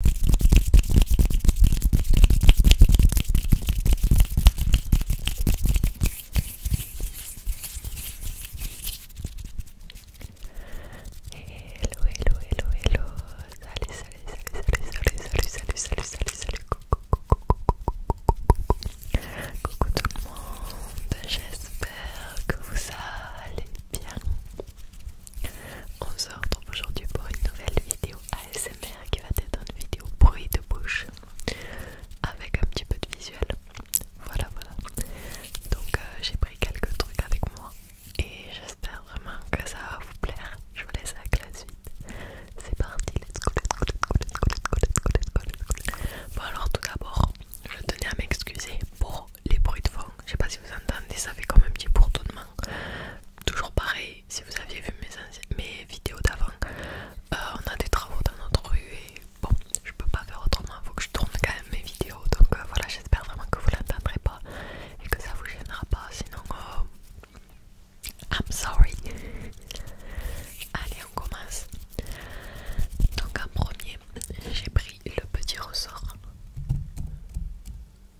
Hello, hello, hello, hello. Salut, salut, salut, salut, salut, salut, salut, salut, salut. salut, coucou, Coucou tout le monde. J'espère que vous allez bien. On se retrouve aujourd'hui pour une nouvelle vidéo ASMR qui va être une vidéo bruit de bouche avec un petit peu de visuel. Voilà, voilà. Donc euh, j'ai pris quelques trucs avec moi et j'espère vraiment que ça va vous plaire. Je vous laisse avec la suite. C'est parti, let's go, let's go, let's go, let's go, let's go, let's go, let's go. Bon alors tout d'abord, je tenais à m'excuser pour les bruits de fond. Je sais pas si vous entendez, ça fait comme un petit bourdonnement. Toujours pareil, si vous aviez vu mes, vidéos d'avant, euh, on a des travaux dans notre rue et bon, je peux pas faire autrement, faut que je tourne quand même mes vidéos. Donc euh, voilà, j'espère vraiment que vous l'entendrez pas et que ça vous gênera pas, sinon euh, I'm sorry. Allez, on commence. Donc en premier, j'ai pris le petit ressort.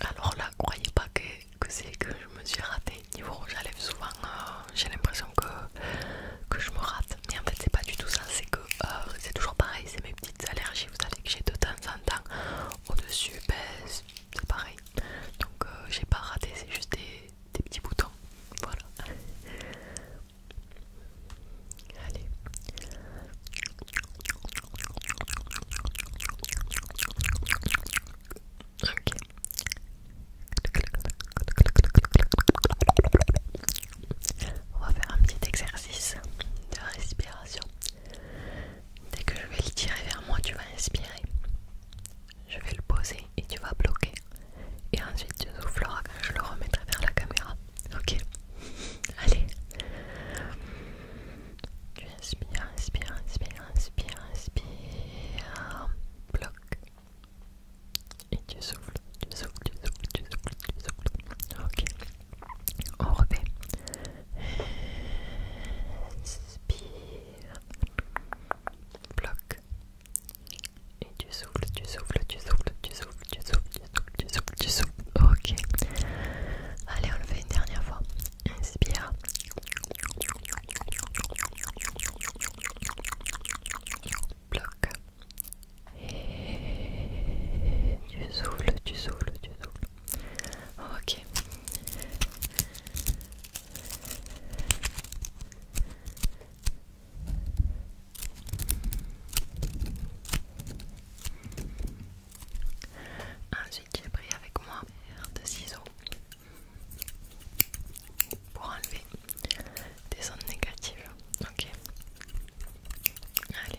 Alors là, croyez pas que, c'est que je me suis ratée. Niveau rouge souvent euh, j'ai l'impression que, que je me rate. Mais en fait, c'est pas du tout ça, c'est que euh, c'est toujours pareil, c'est mes petites allergies. Vous savez que j'ai de temps en temps au-dessus, ben, c'est pareil. Donc euh, j'ai pas raté, c'est juste des petits boutons. Voilà. Allez. On va faire un petit exercice de respiration. Dès que je vais le tirer vers moi, tu vas inspirer. Je vais le poser et tu vas bloquer. Et ensuite tu souffleras quand je le remettrai vers la caméra. Ok. Allez. Tu inspires, inspires, inspires, inspires, inspires. Bloc. Et tu souffles, tu souffles, tu souffles, tu souffles, tu souffles. Ok. On refait. Inspire. Bloc. Et tu souffles, tu souffles, tu souffles, tu souffles, tu souffles, tu souffles, tu souffles, tu souffles. Ok. Allez, on le fait une dernière fois. Inspire. Bloque. Et tu souffles, tu souffles, tu souffles. Ok. Ensuite, j'ai pris avec moi un de ciseaux pour enlever des ondes négatives. Ok. Allez.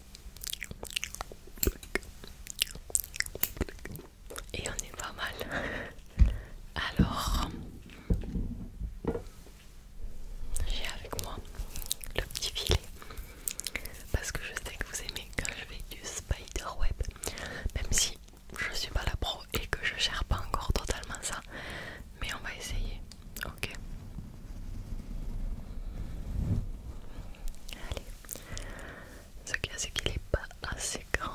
Et on est pas mal. Alors, j'ai avec moi le petit filet. Parce que je sais que vous aimez quand je fais du spiderweb. Même si je suis pas la pro et que je cherche pas encore totalement ça. Mais on va essayer. Ok. Allez. Ce qu'il y a, c'est qu'il n'est pas assez grand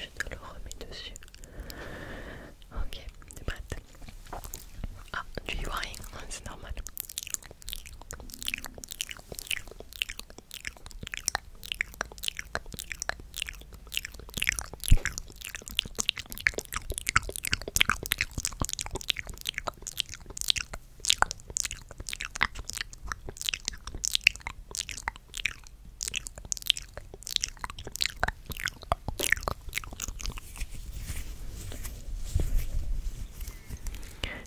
je te le remets dessus. Ok, t'es prête Ah, tu y vois rien, hein, c'est normal.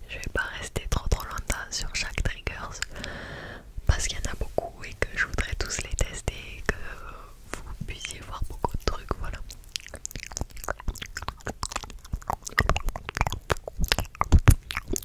Je vais pas rester trop trop longtemps sur chaque triggers parce qu'il y en a beaucoup et que je voudrais tous les tester et que vous puissiez voir beaucoup de trucs voilà.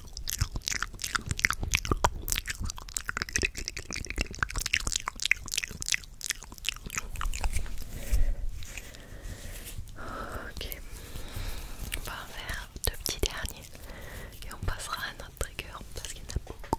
Ok, on va en faire deux petits derniers et on passera à notre trigger parce qu'il y en a beaucoup.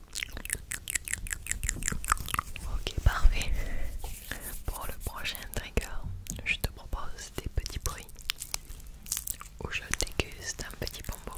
Ok, parfait. Pour le prochain trigger, je te propose des petits bruits où je déguste un petit bonbon.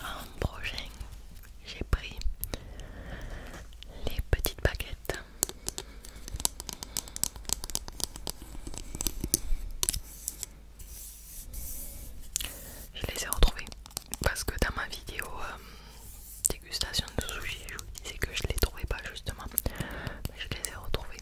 En prochain, j'ai pris les petites baguettes. Je les ai retrouvées parce que dans ma vidéo euh, dégustation de sushi, je vous disais que je les trouvais pas justement. je les ai retrouvées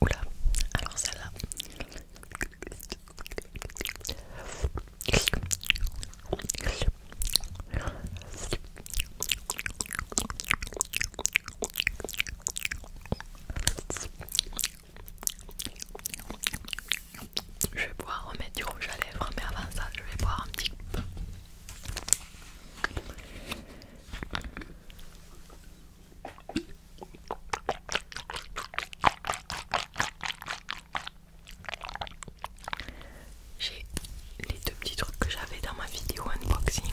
Oula, alors celle-là. Je vais pouvoir remettre du rouge à lèvres, mais avant ça, je vais boire un petit peu. J'ai les deux petits trucs que j'avais dans ma vidéo unboxing.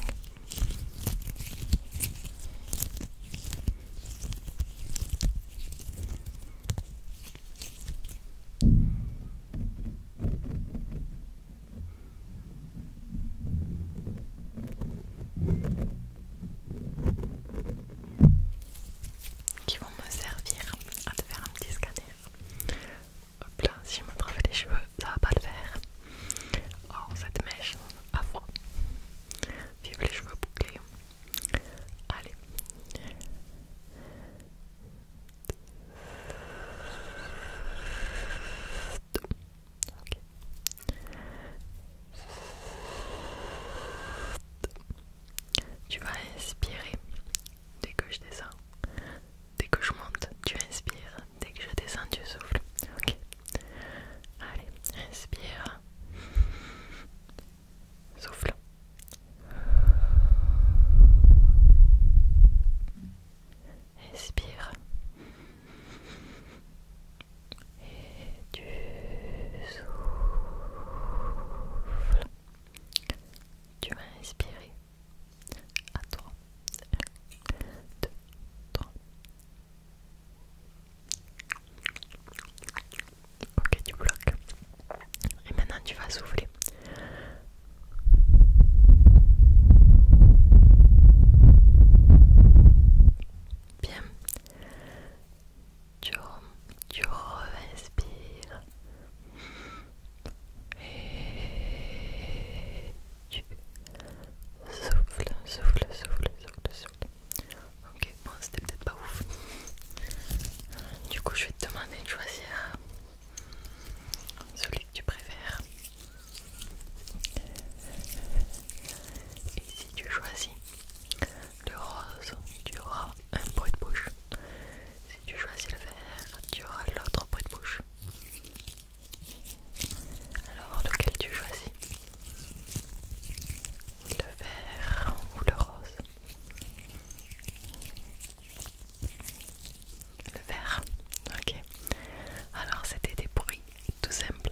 qui vont me servir à te faire un petit scanner. Hop là, si je me travais les cheveux, ça va pas le faire. Oh, cette mèche, à froid. Vive les cheveux bouclés. Allez. Tu vas inspirer dès que je descends. Dès que je monte, tu inspires. Dès que je descends, tu souffles. Ok. Allez, inspire. Souffle. Inspire. Et tu souffles tu vas inspirer à trois ok tu bloques et maintenant tu vas souffler Bien tu, re et tu souffles, souffles, souffle, souffles, souffles. Ok, bon, c'était peut-être pas ouf. Du coup, je vais te demander de choisir celui que tu préfères. Et si tu choisis le rose, tu auras un bruit de bouche. Si tu choisis le vert, tu auras l'autre bruit de bouche. Alors, lequel tu choisis Le vert ou le rose Le vert, ok. Alors, c'était des bruits tout simples.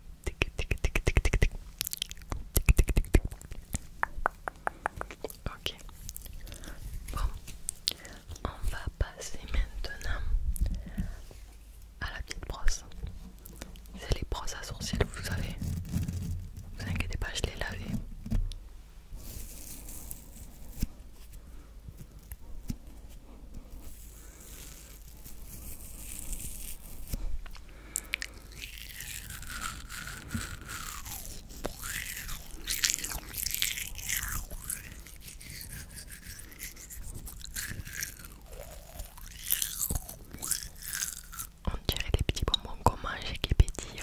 Ok. Bon, on va passer maintenant à la petite brosse. C'est les brosses à vous savez. Vous inquiétez pas, je les lave. On dirait des petits bonbons qu'on mange et qui pétillent.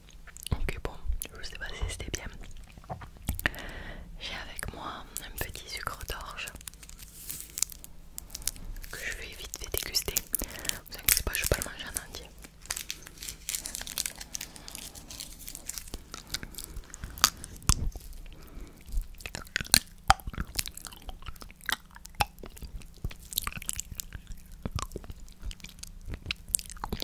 Ok, bon, je sais pas si c'était bien. J'ai avec moi un petit sucre d'orge que je vais vite fait déguster. Vous inquiétez pas, je peux pas le manger en entier.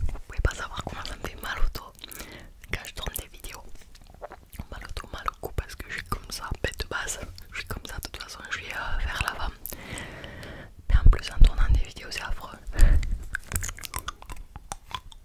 Vous ne pouvez pas savoir comment ça me fait mal au dos quand je tourne des vidéos. Mal au dos, mal au cou parce que je suis comme ça, bête de base. Je suis comme ça, de toute façon je suis euh, vers l'avant. Mais en plus en tournant des vidéos c'est affreux.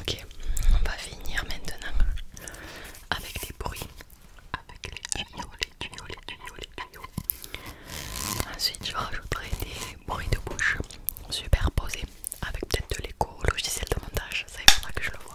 Ok, on va finir maintenant avec les bruits, avec les tuyaux, les tuyaux, les tuyaux, les tuyaux. Ensuite, je rajouterai des bruits de bouche superposés avec peut-être de l'écho au logiciel de montage. Ça, il faudra que je le vois.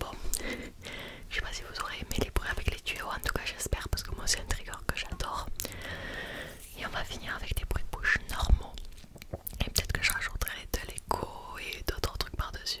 Bon, je sais pas si vous aurez aimé les bruits avec les tuyaux, en tout cas j'espère parce que moi c'est un trigger que j'adore. Et on va finir avec des bruits de bouche normaux. Et peut-être que je rajouterai de l'écho et d'autres trucs par-dessus.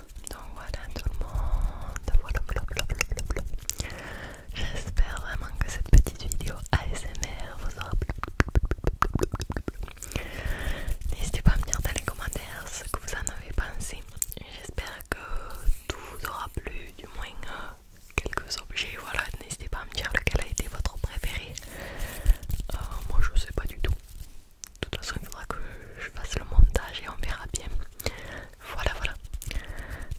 Donc voilà tout le monde, J'espère vraiment que cette petite vidéo ASMR vous aura plu. N'hésitez pas à me dire dans les commentaires ce que vous en avez pensé. J'espère que tout vous aura plu, du moins euh, quelques objets. Voilà, n'hésitez pas à me dire lequel a été votre préféré. Euh, moi je sais pas du tout. De toute façon, il faudra que je fasse le montage et on verra bien. Voilà, voilà.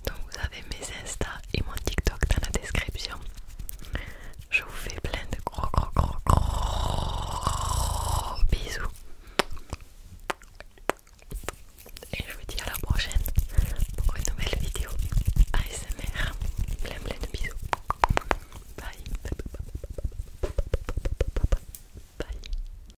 Donc vous avez mes Insta et mon TikTok dans la description. Je vous fais plein de gros gros gros gros bisous. Et je vous dis à la prochaine pour une nouvelle vidéo ASMR. Plein plein de bisous. Bye. Bye.